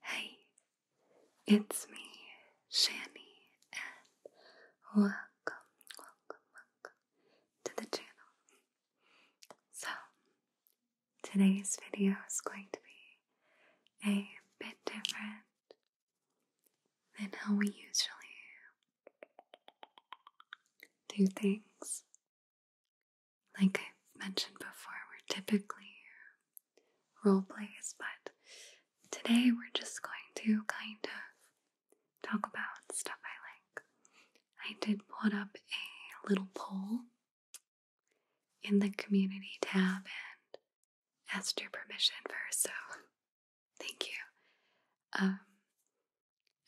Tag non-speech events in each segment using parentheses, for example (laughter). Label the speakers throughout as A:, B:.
A: Hey, it's me, Shani, and welcome, welcome, welcome to the channel. So,
B: today's video is going to be a bit different than how we usually do things. Like I mentioned before, we're typically role plays, but today we're just going to kind of talk about stuff I like. I did put up a little poll in the community tab and asked your permission first, so thank you. Um,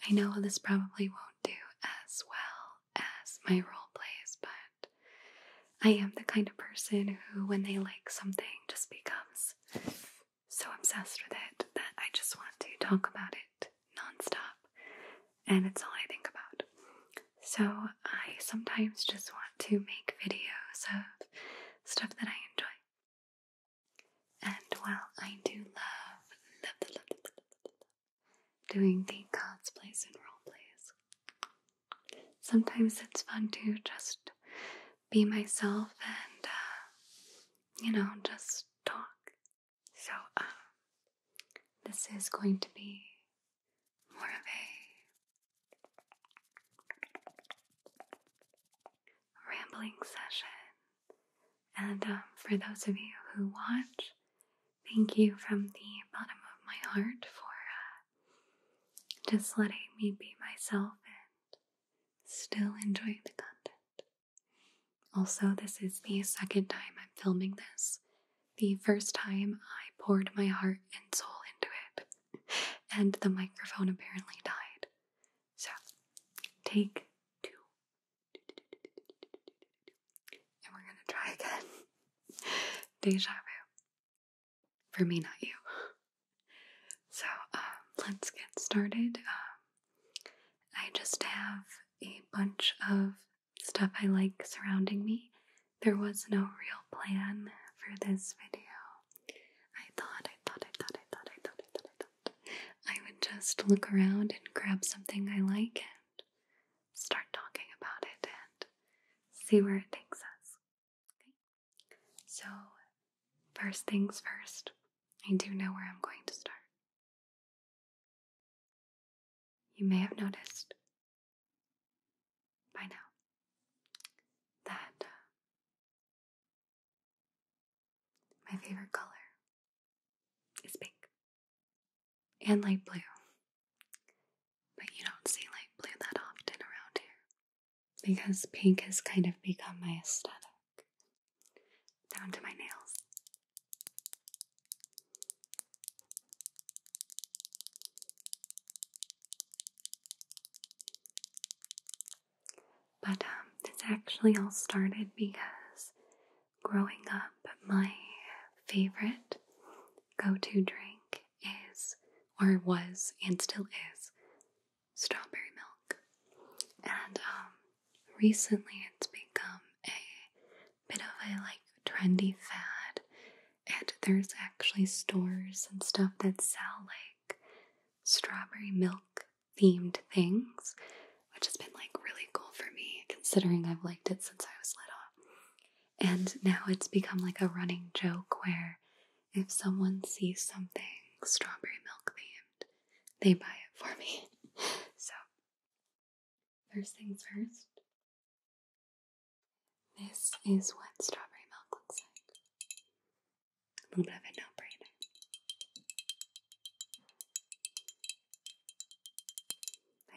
B: I know this probably won't do as well as my role plays, but I am the kind of person who, when they like something, just becomes so obsessed with it that I just want to talk about it nonstop, and it's all I think about. So I sometimes just want to make videos of stuff that I enjoy. And while I do love, love, love, love, love, love, doing the cosplays and role plays, sometimes it's fun to just be myself and, uh, you know, just talk so, um, this is going to be more of a rambling session. And um, for those of you who watch, thank you from the bottom of my heart for uh, just letting me be myself and still enjoying the content. Also, this is the second time I'm filming this. The first time I poured my heart and soul into it, (laughs) and the microphone apparently died. So, take two. And we're gonna try again. (laughs) Deja vu. For me, not you. (laughs) So, um, let's get started. Um, I just have a bunch of stuff I like surrounding me. There was no real plan for this video. I thought, I thought, I thought, I thought, I thought, I thought, I thought, I would just look around and grab something I like and start talking about it and see
A: where it takes us. So, first things first, I do know where I'm going to start. You may have noticed by now that uh, my favorite color is pink and light blue.
B: But you don't see light blue that often around here because pink has kind of become my aesthetic down to my nails. But um, this actually all started because growing up, my favorite go to drink is, or was, and still is, strawberry milk. And um, recently it's become a bit of a like trendy fad, and there's actually stores and stuff that sell like strawberry milk themed things, which has been like really cool for me considering I've liked it since I was little. And now it's become like a running joke where if someone sees something
A: strawberry milk themed,
B: they buy it for me. (laughs) so, first things first, this is what strawberry milk looks like. A little bit of a no brainer.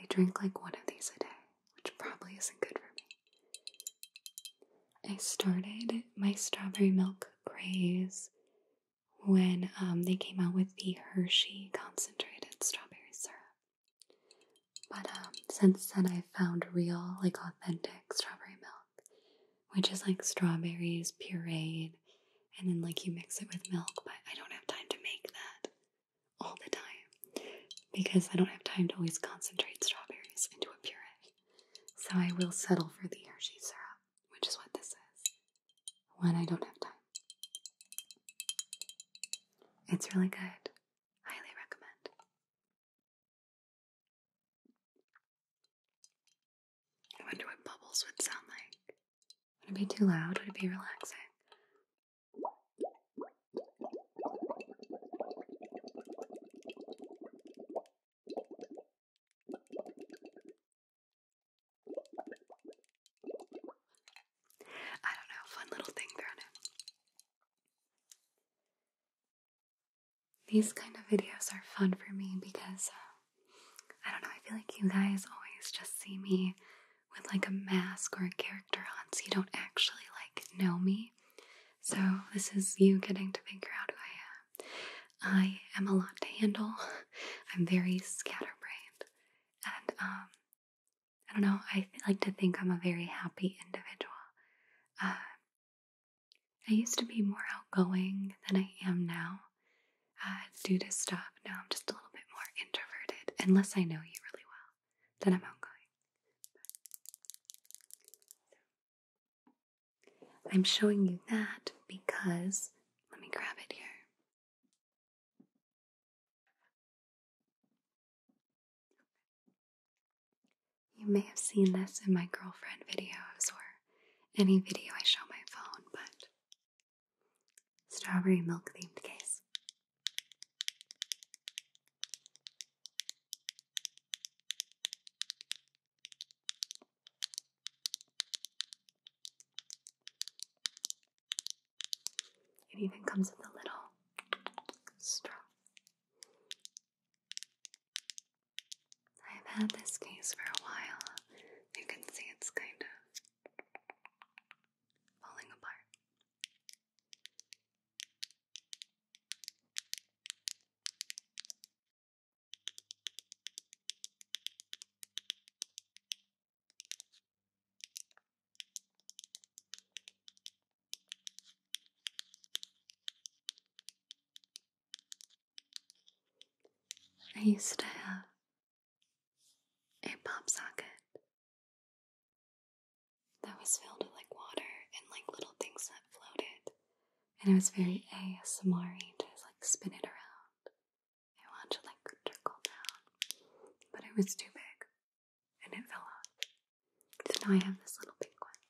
B: I drink like one of these a day, which probably isn't good for me. I started my strawberry milk craze when um, they came out with the Hershey concentrated strawberry syrup. But um, since then, I've found real, like authentic strawberry milk, which is like strawberries pureed and then like you mix it with milk. But I don't have time to make that all the time because I don't have time to always concentrate strawberries into a puree. So I will settle for the Hershey syrup which is what this is, when I don't have time.
A: It's really good. Highly recommend. I wonder what bubbles would sound like. Would it be too loud? Would it be relaxing?
B: I don't know, fun little thing thrown in. These kind of videos are fun for me because uh, I don't know, I feel like you guys always just see me with like a mask or a character on, so you don't actually like know me. So, this is you getting to figure out who I am. I am a lot to handle. (laughs) I'm very scatterbrained, and um, I don't know. I like to think I'm a very happy individual. Uh, I used to be more outgoing than I am now. Uh, due to stuff, now I'm just a little bit more introverted. Unless I know you really well, then I'm outgoing.
A: I'm showing you that because, let me grab it here. You may have seen this in my girlfriend videos or
B: any video I show my phone, but strawberry milk themed case.
A: It even comes with a little
B: straw. I've had this case for a while. You can see it's kind of falling apart.
A: I used to have a pop socket that was filled with like
B: water and like little things that floated, and it was very ASMR to just like spin it around. I watched it like trickle down, but it was too big and it
A: fell off. So now I have this little pink one.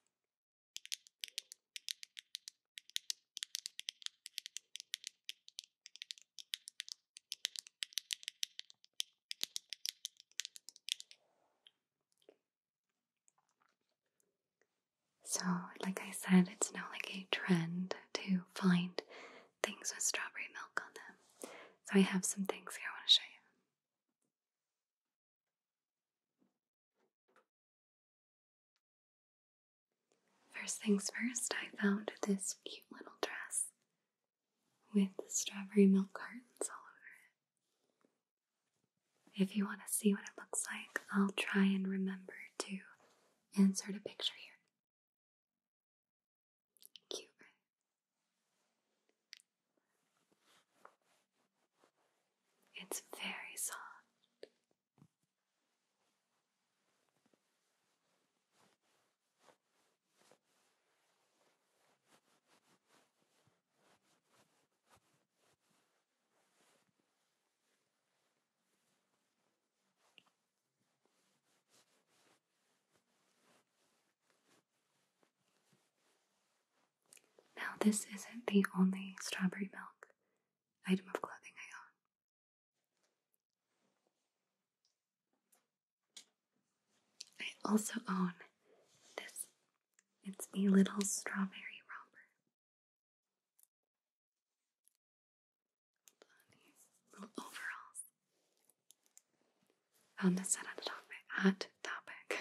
A: So,
B: like I said, it's now like a trend to find things with strawberry milk
A: on them. So, I have some things here I want to show you. First things first, I found this cute little dress with strawberry
B: milk curtains all over it. If you want to see what it looks like, I'll try and remember to Insert a picture here. Cute,
A: It's very soft.
B: Now, this isn't the only strawberry milk item of clothing I
A: own. I also own this. It's a little strawberry romper overalls. Found this at
B: a topic. Hot topic.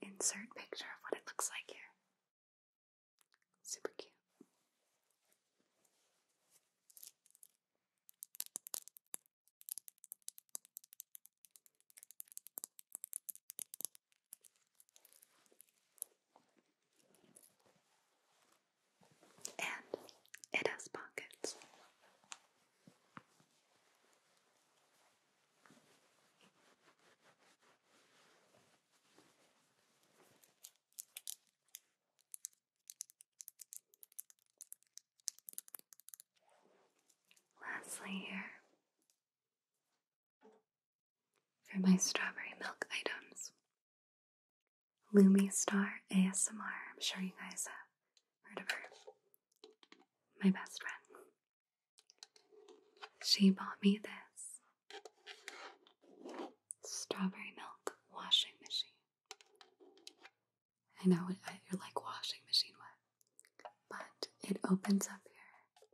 A: Insert picture of what it looks like here. Super cute. And it has pockets. Lastly, here for my strawberry milk items.
B: Lumi Star ASMR, I'm sure you guys have heard of her. My best friend. She bought me this strawberry milk washing machine. I know it, uh, you're like washing machine what, but it opens up here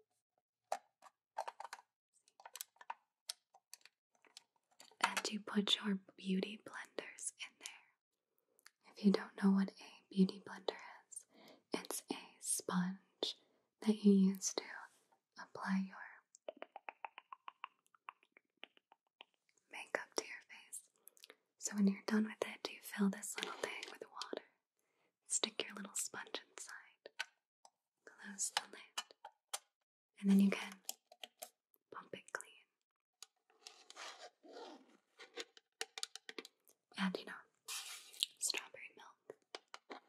B: and you put your beauty blenders in there. If you don't know what a beauty blender is, it's a sponge that you use to apply your makeup to your face. So when you're done with it, do you fill this little thing with water. Stick your little sponge inside. Close the lid. And then you can pump it clean. And you know, strawberry milk.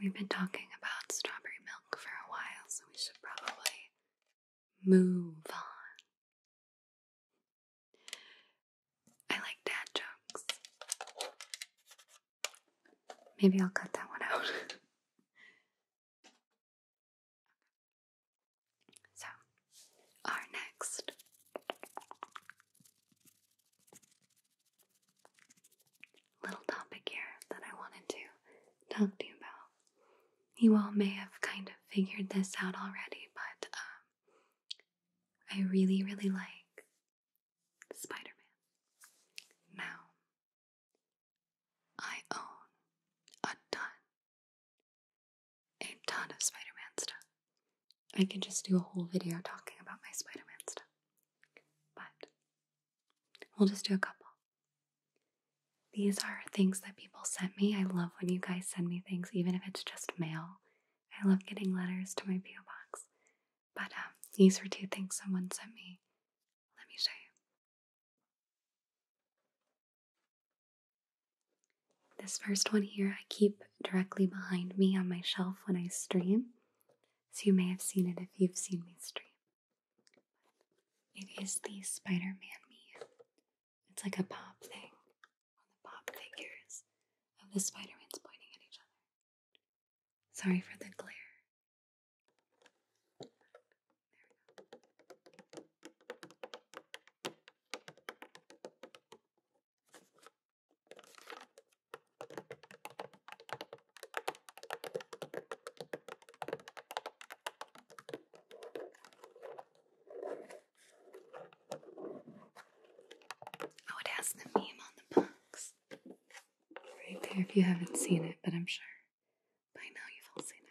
A: We've been talking about strawberry milk for a while, so we should probably move on I like dad jokes. Maybe I'll cut that one out. (laughs) so, our next
B: little topic here that I wanted to talk to you about. You all may have kind of figured this out already, but um, I really, really like Spider
A: Man. Now, I own a ton, a ton of Spider stuff. I could just
B: do a whole video talking about my Spider Man stuff, but we'll just do a couple. These are things that people sent me. I love when you guys send me things, even if it's just mail. I love getting letters to my P.O. box. But um, these were two things someone sent me. Let me show you. This first one here I keep directly behind me on my shelf when I stream. So you may have seen it if you've seen me stream. It is the Spider Man Me.
A: It's like a pop thing on the pop figures of the Spider-Mans pointing at each other. Sorry for the glare.
B: Oh, it has the meme on the box. Right there, if you haven't seen it, but I'm sure by now you've all seen it.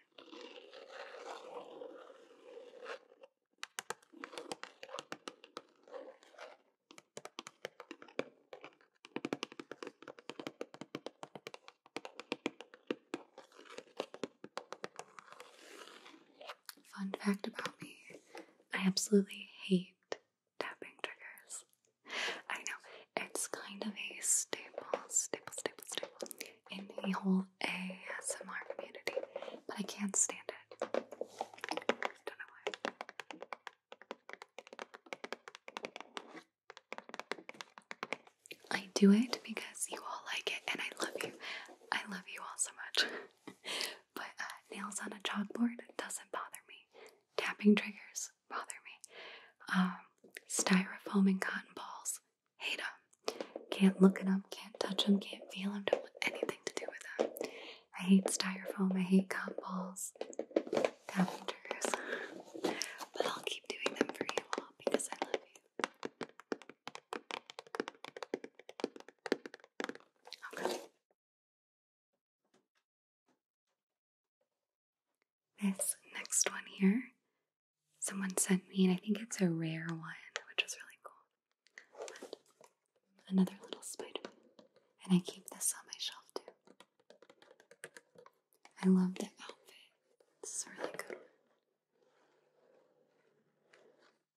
B: Fun fact about me I absolutely hate tapping triggers. I know, it's kind of a staple, staple, staple, staple in the whole ASMR community, but I can't stand it. I don't know why. I do it because you all like it and I love you. I love you all so much. (laughs) but uh, nails on a chalkboard doesn't bother me. Tapping triggers bother me. Um, styrofoam and cotton balls, hate them. Can't look at them, can't touch them, can't feel them, don't want anything to do with them. I hate styrofoam, I hate cotton balls, tapping triggers. but I'll keep doing them for you all because I love you.
A: This next one here,
B: someone sent me, and I think it's a rare one, which is really cool. another little spider, and I keep this on my shelf too. I love the outfit. This is a really cool.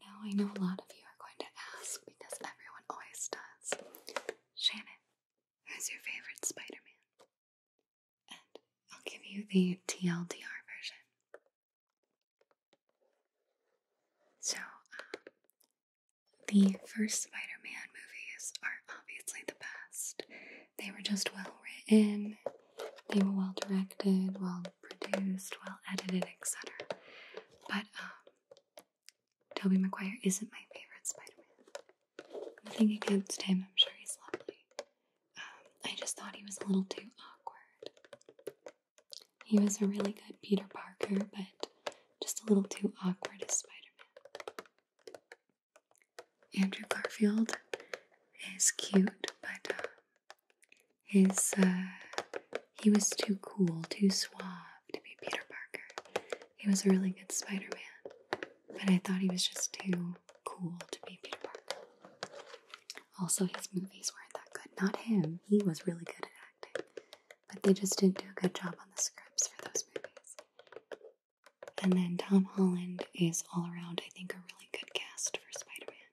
B: Now I know a lot of you are going to ask because everyone always does. Shannon, who's your favorite Spider Man? And I'll give you the TLDR version. So, um, the first Spider Man movies are obviously the best. They were just well written, they were well directed, well produced, well edited, etc. But um, Tobey Maguire isn't my favorite Spider-Man. Nothing against him. I'm sure he's lovely. Um, I just thought he was a little too awkward. He was a really good Peter Parker, but just a little too awkward as Spider-Man. Andrew Garfield is cute, but. Um, his uh, he was too cool, too suave to be Peter Parker. He was a really good Spider-Man, but I thought he was just too cool to be Peter Parker. Also, his movies weren't that good. Not him; he was really good at acting, but they just didn't do a good job on the scripts for those movies. And then Tom Holland is all around, I think, a really good cast for Spider-Man.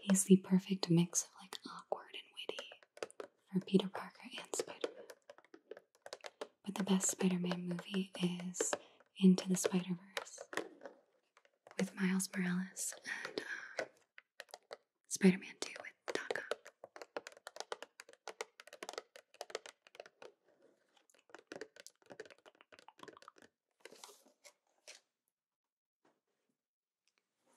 B: He's the perfect mix of like awkward and witty for Peter Parker and Spider Man. But the best Spider Man movie is Into the Spider Verse with Miles Morales and um, Spider Man 2 with Daka.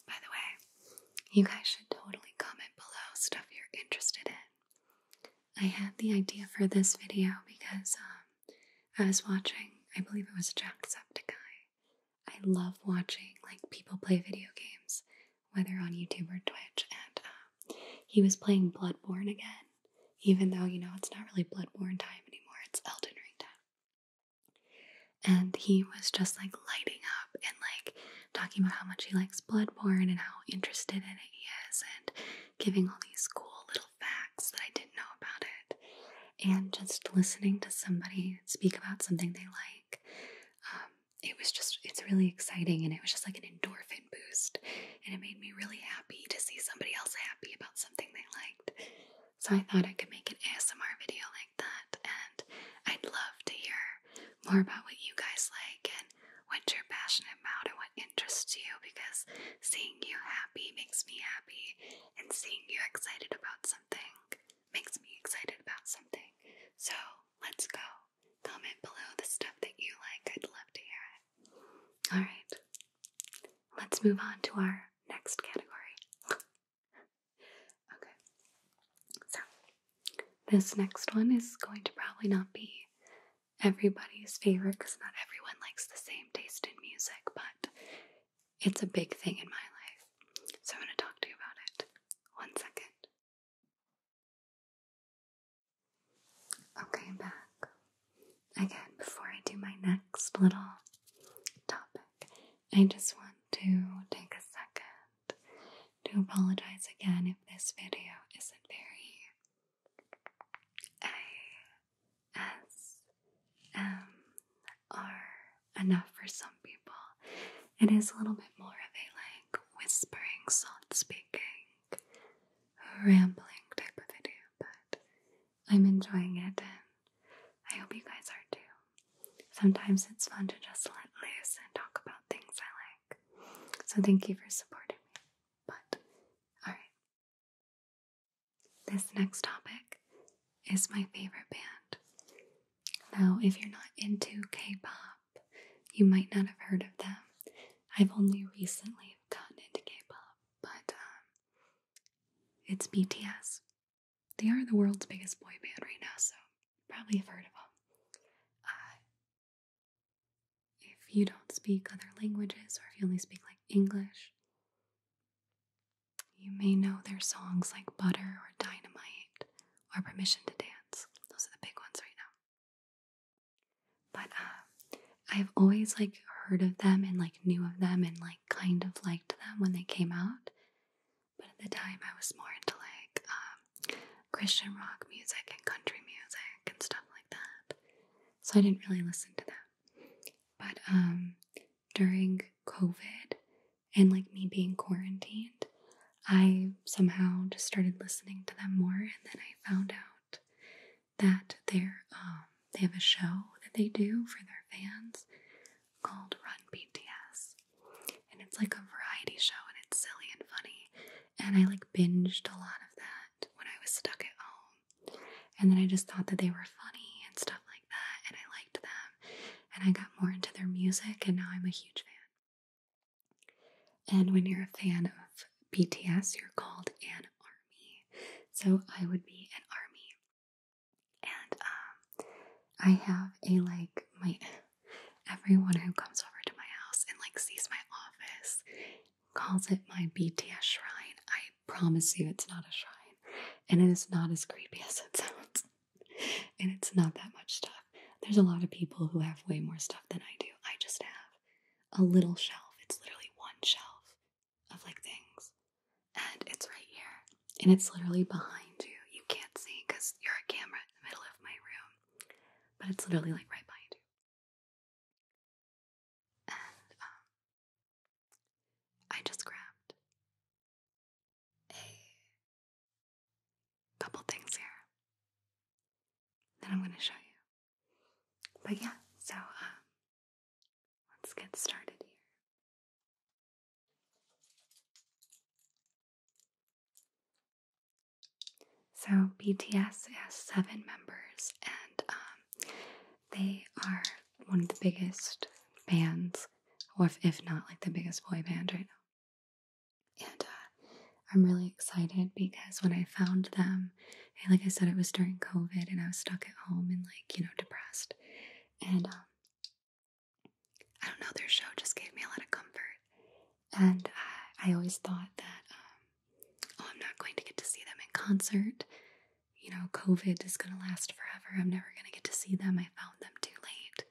B: By the way, you guys should totally comment below stuff you're interested in. I had the idea for this video because um, I was watching, I believe it was Jacksepticeye. I love watching like people play video games, whether on YouTube or Twitch, and um, he was playing Bloodborne again, even though, you know, it's not really Bloodborne time anymore, it's Elden Ring time. And he was just like lighting up and like talking about how much he likes Bloodborne and how interested in it he is, and giving all these cool little facts that I didn't know about it. And just listening to somebody speak about something they like, um, it was just, it's really exciting. And it was just like an endorphin boost. And it made me really happy to see somebody else happy about something they liked. So I thought I could make an ASMR video like that, and I'd love to hear more about what you guys like and what you're passionate about and what interests you because seeing you happy makes me happy, and seeing you excited about something makes me excited about something. So let's go. Comment below the stuff that you like, I'd love to hear it. Alright, let's move on to our next category. Okay, so this next one is going to probably not be everybody's favorite because not everyone likes the same taste in music, but it's a big thing
A: in my life. So I'm going to talk to you about it. One second. Okay, I'm back. Again, before
B: I do my next little topic, I just want to take a second to apologize again if this video isn't very ASMR enough for some people. It is a little bit more of a like whispering, soft speaking, rambling type of video, but I'm enjoying it, and I hope you guys are too. Sometimes it's fun to just let loose and talk about things I like. So, thank you for supporting me. But, alright. This next topic is my favorite band. Now, if you're not into K pop, you might not have heard of them. I've only recently gotten into K pop, but um, it's BTS. They are the world's biggest boy band right now, so probably have heard of them. Uh, if you don't speak other languages or if you only speak like English, you may know their songs like Butter or Dynamite or Permission to Dance. Those are the big ones right now. But uh, I've always like heard of them and like knew of them and like kind of liked them when they came out. But at the time, I was more into like um, Christian rock music and country music and stuff like that. So I didn't really listen to that. But um, during COVID and like me being quarantined, I somehow just started listening to them more, and then I found out that they're um, they have a show that they do for their fans called Run BTS. And it's like a variety show and it's silly and funny. And I like binged a lot of that when I was stuck at home. And then I just thought that they were funny and stuff like that. And I liked them. And I got more into their music. And now I'm a huge fan. And when you're a fan of BTS, you're called an army. So I would be an army. And um, I have a like my everyone who comes over to my house and like sees my office calls it my BTS shrine. I promise you, it's not a shrine, and it is not as creepy (laughs) as it sounds. and it's not that much stuff. There's a lot of people who have way more stuff than I do. I just have a little shelf. It's literally one shelf of like things. And it's right here. And it's literally behind you. You
A: can't see because you're a camera in the middle of my room. But it's literally like right behind you. And um, I just grabbed a couple things here that I'm going to show you. But yeah, so um, Let's get started here. So,
B: BTS has seven members, and um, they are one of the biggest bands, or if, not like the biggest boy band right now. And uh, I'm really excited because when I found them, like I said, it was during COVID and I was stuck at home and like, you know, depressed. And um, I don't know, their show just gave me a lot of comfort. And uh, I, always thought that, um, oh, I'm not going to get to see them in concert. You know, COVID is going to last forever. I'm never going to get to see them. I found them too late.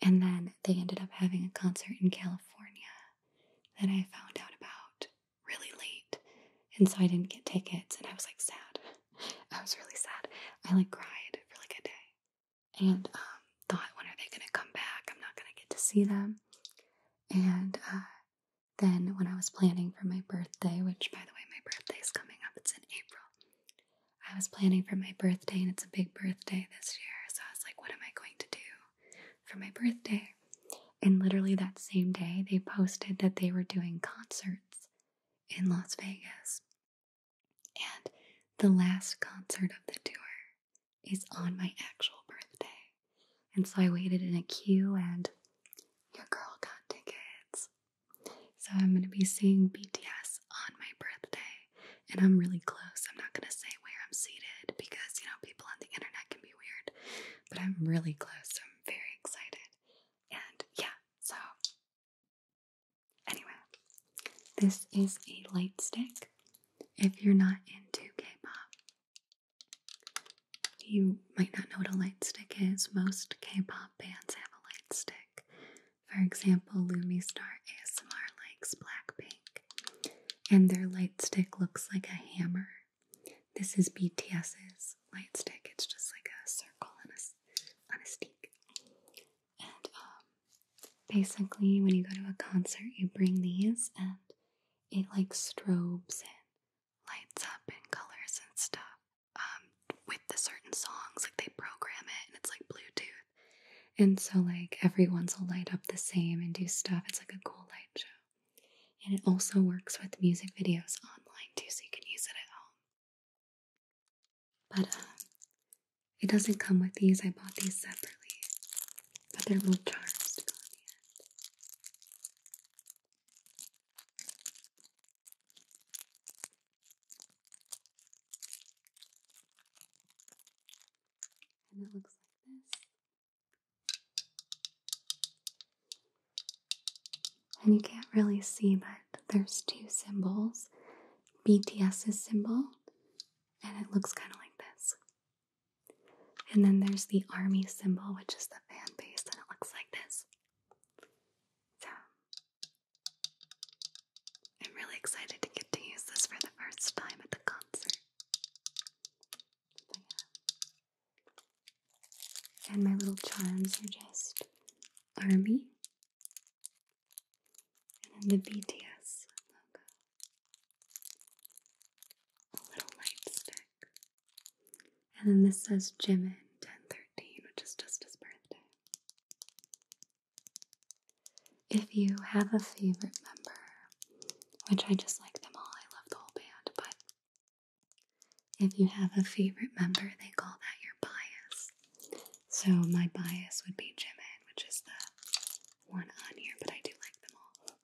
B: And then they ended up having a concert in California that I found out about really late. And so I didn't get tickets and I was like sad. (laughs) I was really sad. I like cried for like a day and um, thought, when are they going to come back? I'm not going to get to see them. And uh, then when I was planning for my birthday, which by the way, my birthday is coming up, it's in April. I was planning for my birthday and it's a big birthday this year. So I was like, what am I going to do for my birthday? And literally that same day, they posted that they were doing concerts in Las Vegas. And the last concert of the tour is on my actual birthday. And so I waited in a queue and your girl got tickets. So I'm going to be seeing BTS on my birthday. And I'm really close. I'm not going to say where I'm seated because, you know, people on the internet can be weird. But I'm really close. So I'm very excited. And yeah, so Anyway, this is a light stick. If you're not into K pop, you might not know what a light stick is. Most K pop bands have a light stick. For example, Lumistar ASMR likes Blackpink, and their light stick looks like a hammer. This is BTS's light stick, it's just like a circle and a on a stick. And um, basically, when you go to a concert, you bring these and it like strobes and lights up and colors and stuff um, with the certain songs. Like they program it and it's like Bluetooth. And so, like, everyone's will light up the same and do stuff. It's like a cool light show. And it also works with music videos online too, so you can use it at home. But uh, it doesn't come with these. I bought these separately.
A: But they're little charms to go in the end.
B: And it looks like this. And you can't really see, but there's two symbols BTS's symbol, and it looks kind of like this. And then there's the army symbol, which is the fan base, and it looks like this. So, I'm really excited to get to use this for the first time at the concert. And my little charms are just Army and then the BTS logo. A little light stick. And then this says Jimin 1013, which is just his birthday. If you have a favorite member, which I just like them all, I love the whole band, but if you have a favorite member, they call that your bias. So my bias would be Jimin,
A: which is the one on here, but I do like them all.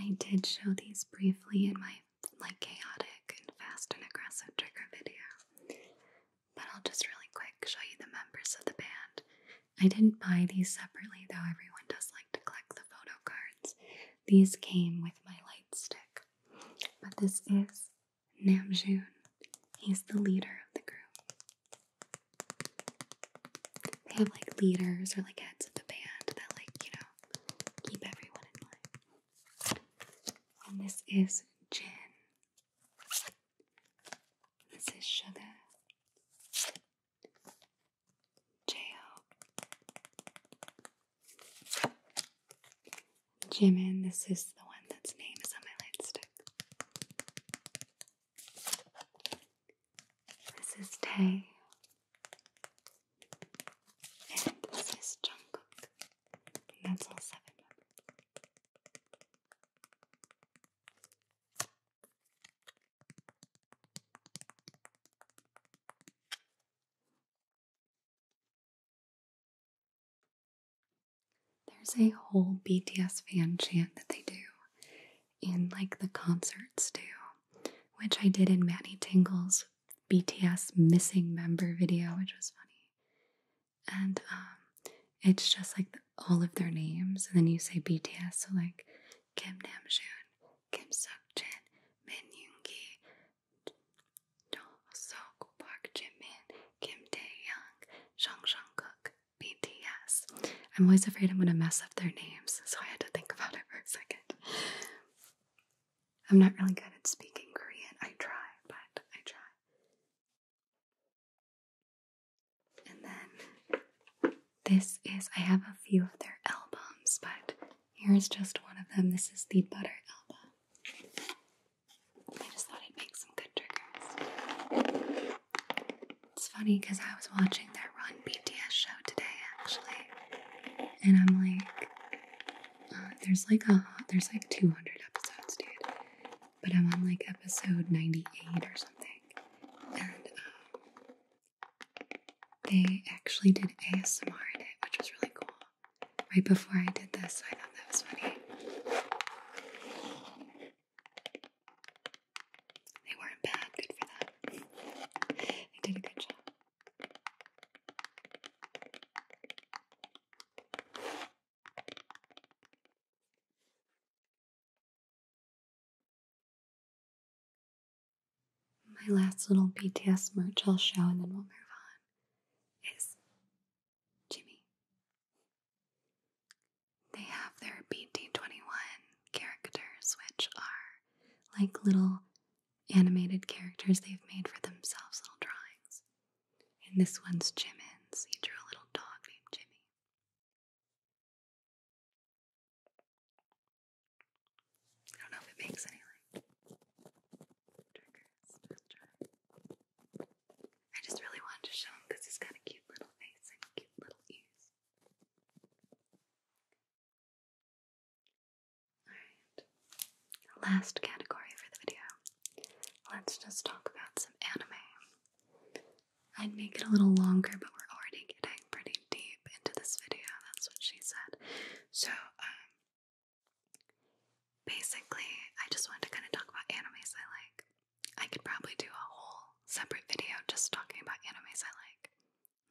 A: I did show these briefly in my
B: like chaotic and fast and aggressive trigger video, but I'll just really quick show you the members of the band. I didn't buy these separately though, everyone does like to collect the photo cards. These came with my light stick, but this is Namjoon. He's the leader of the group. They have like leaders or like heads of the band that like, you know, keep everyone in line. And this is gin.
A: This is sugar. J-O.
B: Jimin, this is the one that's name is on my light this is Tae. And this is Jungkook. that's all seven members.
A: There's a whole
B: BTS fan chant that they do and like the concerts too, which I did in Matty Tingle's BTS missing member video, which was funny. And um, it's just like all of their names, and then you say BTS, so like Kim Namjoon, Kim Seokjin, Min Yoongi, Seok, Park Jimin, Kim Tae Young, Jung Jungkook, BTS. I'm always afraid I'm gonna mess up their names,
A: so I had to think about it for a second. I'm not really good at speaking Korean. I try, but I try.
B: And then this is, I have a few of their albums, but here's just one of them. This is the Butter album. I just thought I'd some good triggers. It's funny because I was watching that Run BTS show today actually, and I'm like, uh, there's like a there's like 200 episodes, dude, but I'm on like episode 98 or something, and um, they actually did ASMR in it, which was really cool. Right before I did this, I thought that was funny. They weren't bad, good for that. They did a good job.
A: My last little BTS merch I'll show and then we'll move on is Jimmy.
B: They have their BT21 characters, which are like little animated characters they've made for themselves, little drawings. And this one's
A: Jimmins. He drew a little dog named Jimmy. I don't know if it makes any I just really wanted to show him because he's
B: got a cute little face and cute little ears.
A: Alright, last category for the video.
B: Let's just talk about some anime. I'd make it a little longer, but we're already getting pretty deep into this video. That's what she said. So, um, basically, I just wanted to kind of talk about animes I like. I could probably do a whole separate video just talking about animes I like.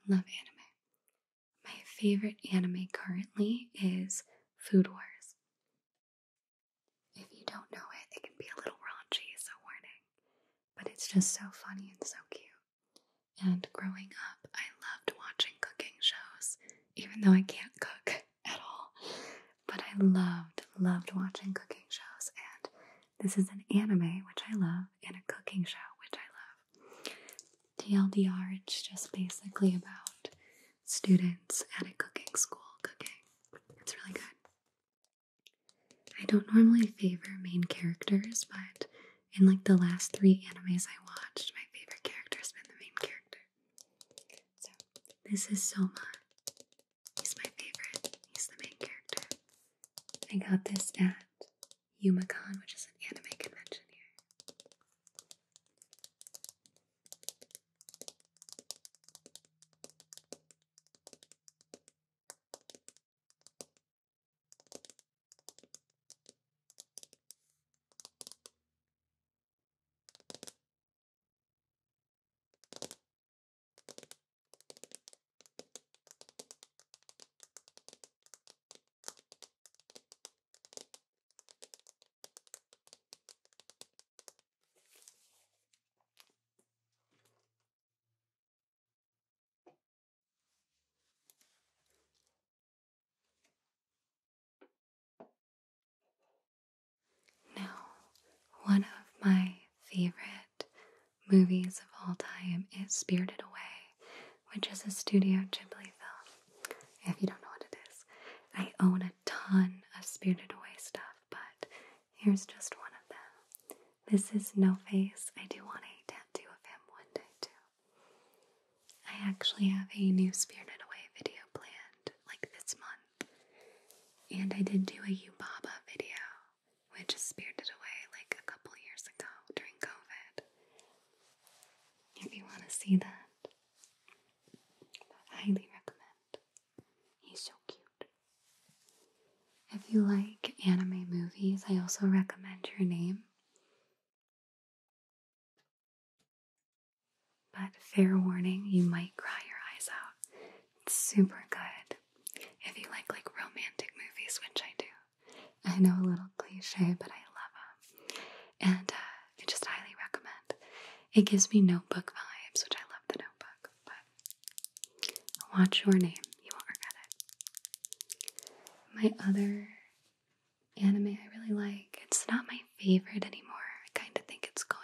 B: Love anime. My favorite anime currently is Food Wars. If you don't know it, it can be a little raunchy, so warning. But it's just so funny and so cute. And growing up, I loved watching cooking shows, even though I can't cook (laughs) at all. But I loved, loved watching cooking shows. And this is an anime, which I love, sauna and a cooking show, which I love. TLDR, it's just basically about students at a cooking school cooking. It's really good. I don't normally favor main characters, but in like the last three animes I watched, my favorite character has been the main character. So, this is Soma. He's my favorite. He's the main character. I got this at YumaCon, which is an anime convention here.
A: Now, one of my
B: favorite movies of all time is Spirited Away, which is a Studio Ghibli film. If you don't know what it is, I own a ton of Spirited Away stuff, but here's just one of them. This is No Face. I do want a tattoo of him one day, too. I actually have a new Spirited Away video planned like this month, and I did do a Yubaba video. We just spirited away like a couple years ago during COVID. If you want to see that, I highly recommend. He's so cute. If you like anime movies, I also recommend Your Name. But fair warning, you might cry your eyes out. It's super good. If you like like romantic movies, which I do, I know a little cliche, but I love them. And uh, I just highly recommend. It gives me notebook vibes, which I love the notebook, watch your name. You won't regret it. My other anime I really like, it's not my favorite anymore. I kind of think it's going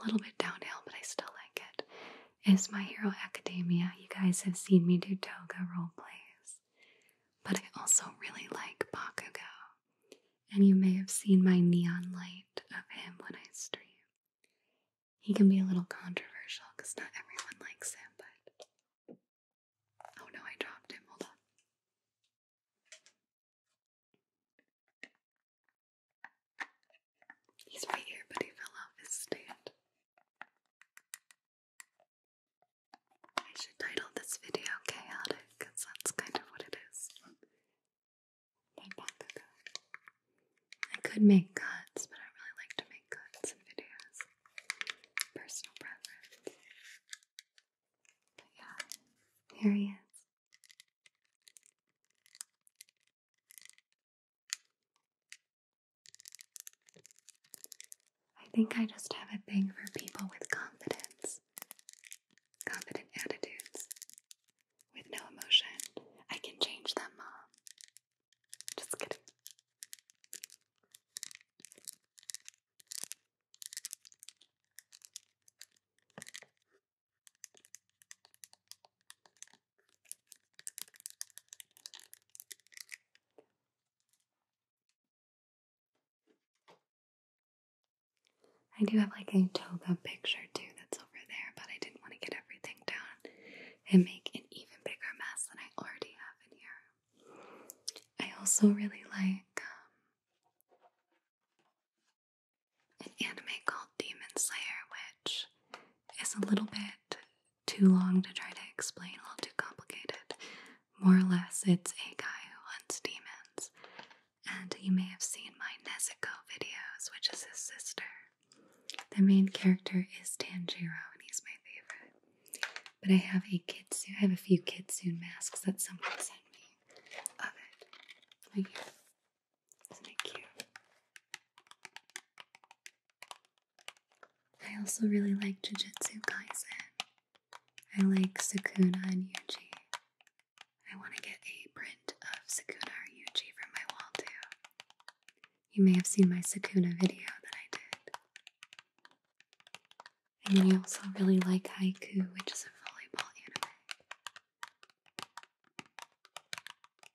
B: a little bit downhill, but I still like it is My Hero Academia. You guys have seen me do toga role plays, but I also really like Bakugo. And you may have seen my neon light of him when I stream. He can be a little controversial because not everyone likes him, but. Oh no, I dropped him. Hold on.
A: He's right here, but he fell off his stand. I should title this video Chaotic, that's kind of what it is.
B: I could make cuts, but I really like to make cuts in videos. Personal preference. But yeah, here he is. I think I just have a thing for people with confidence, confident attitudes, with no emotion. I can change them, Mom. Just kidding. I do have like a toga picture too that's over there, but I didn't want to get everything down and make an even bigger mess than I already have in here. I also really like um, an anime called Demon Slayer, which is a little bit too long to try to explain, All too complicated. More or less, it's a guy who hunts demons. And you may have seen my Nezuko videos, which is his sister. The main character is Tanjiro, and he's my favorite. But I have a suit. I have a few suit masks that someone sent me of oh, it. Isn't it cute? I also really like Jujutsu Kaisen. I like Sakuna and Yuji. I want to get a print of Sakuna and Yuji from my wall too. You may have seen my Sakuna video that I did. And then I also really like Haiku, which is a volleyball anime.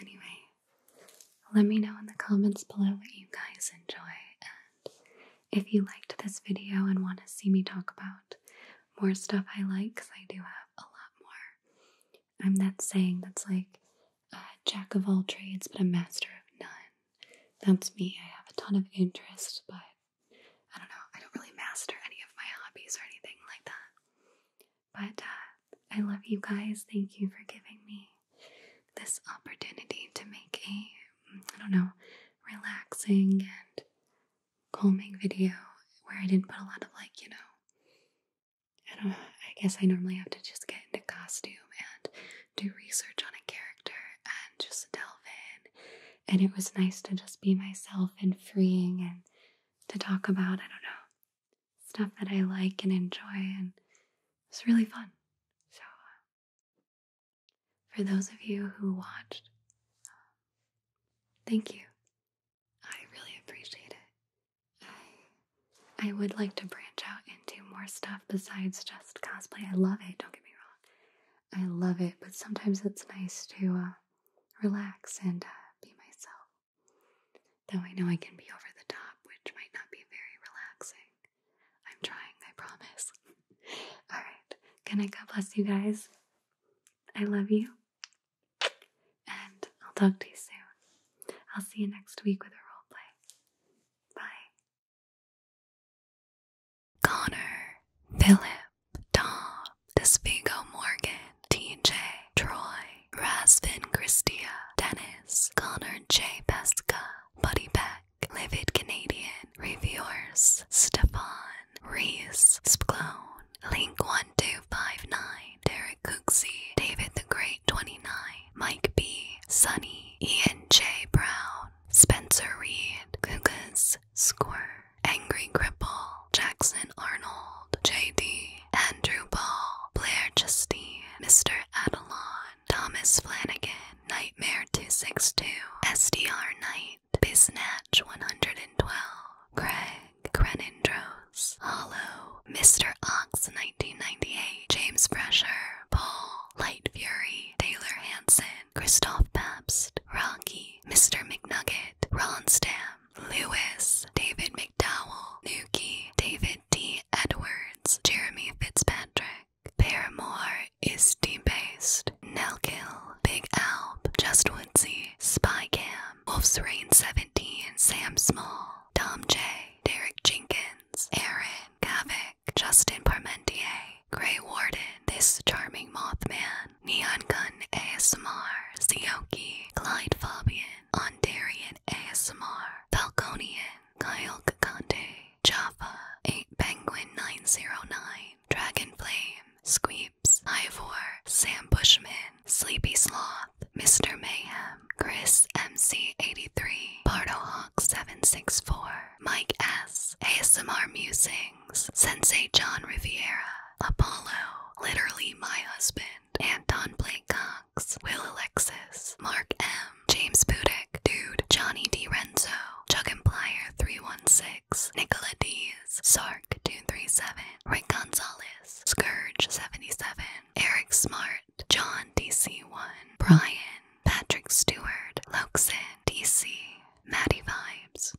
B: Anyway, let me know in the comments below what you guys enjoy and if you liked this video and want to see me talk about more stuff I like because I do have a lot more. I'm that saying that's like a jack of all trades but a master of none. That's me. I have a ton of interest, but I don't know. I don't really master any of my hobbies or anything like that. But uh, I love you guys. Thank you for giving me this opportunity to make a, I don't know, relaxing and calming video where I didn't put a lot of, like, you know, I don't I guess I normally have to just get into costume and do research on a character and just delve in. And it was nice to just be myself and freeing and to talk about, I don't know, stuff that I like and enjoy, and it's really fun. So, uh, for those of you who watched, um, thank you. I really appreciate it. I I would like to branch out into more stuff besides just cosplay. I love it. Don't get me wrong. I love it, but sometimes it's nice to uh, relax and uh, be myself. Though I know I can be over the top, which might not be very relaxing. I'm trying, I promise. (laughs) All right. Can I God bless you guys? I love you. And I'll talk to you soon. I'll see you next week with a role play. Bye.
A: Connor, Philip, Tom, Despigo Morgan, TJ, Troy. Rasvin
B: Christia, Dennis, Connor J. Pesca, Buddy Beck, Livid Canadian, Reviewers, Stefan, Reese, Splone, Link1259, Derek Cooksey, David the Great 29, Mike B, Sunny, Ian J. Brown, Spencer Reed, Gugas, Squirr, Angry Cripple, Jackson Arnold, J.D., Andrew Ball, Blair Justine, Mr. Adelon, Thomas Flanagan, Nightmare 262, SDR Knight, Biznatch 112, Craig, Grenindros, Hollow, Mr. Ox 1998, James Fresher, Paul, Light Fury, Taylor Hansen, Christoph Pabst, Rocky, Mr. McNugget, Ron Stam, Lewis, David McDowell, Nuki, David D. Edwards, Jeremy Fitzpatrick. Paramore is based Nelkill, Big Alp, Just Woodsy, Spy Cam, Wolf's Rain 17, Sam Small, Tom J, Derek Jenkins, Aaron, Kavik, Justin Parmentier, Grey Warden, This Charming Mothman, Neon Gun ASMR, Sioki, Clyde Fabian, Ondarian ASMR, Falconian, Kyle Kakante, Java 8 Penguin 909, Dragon Flame, Squeeps, Ivor, Sam Bushman, Sleepy Sloth, Mr. Mayhem, Chris MC83, BardoHawk764, Mike S, ASMR Musings, Sensei John Riviera, Apollo, literally my husband, Anton Blake Cox, Will Alexis, Mark M, James Budick, Dude, Johnny D. Renzo, Chuck and Plier 316, Nicola D's, Sark 237, Rick Gonzalez, Scourge 77, Eric Smart, John DC1, Brian,
A: Patrick Stewart, Loxin, DC, Maddie Vibes.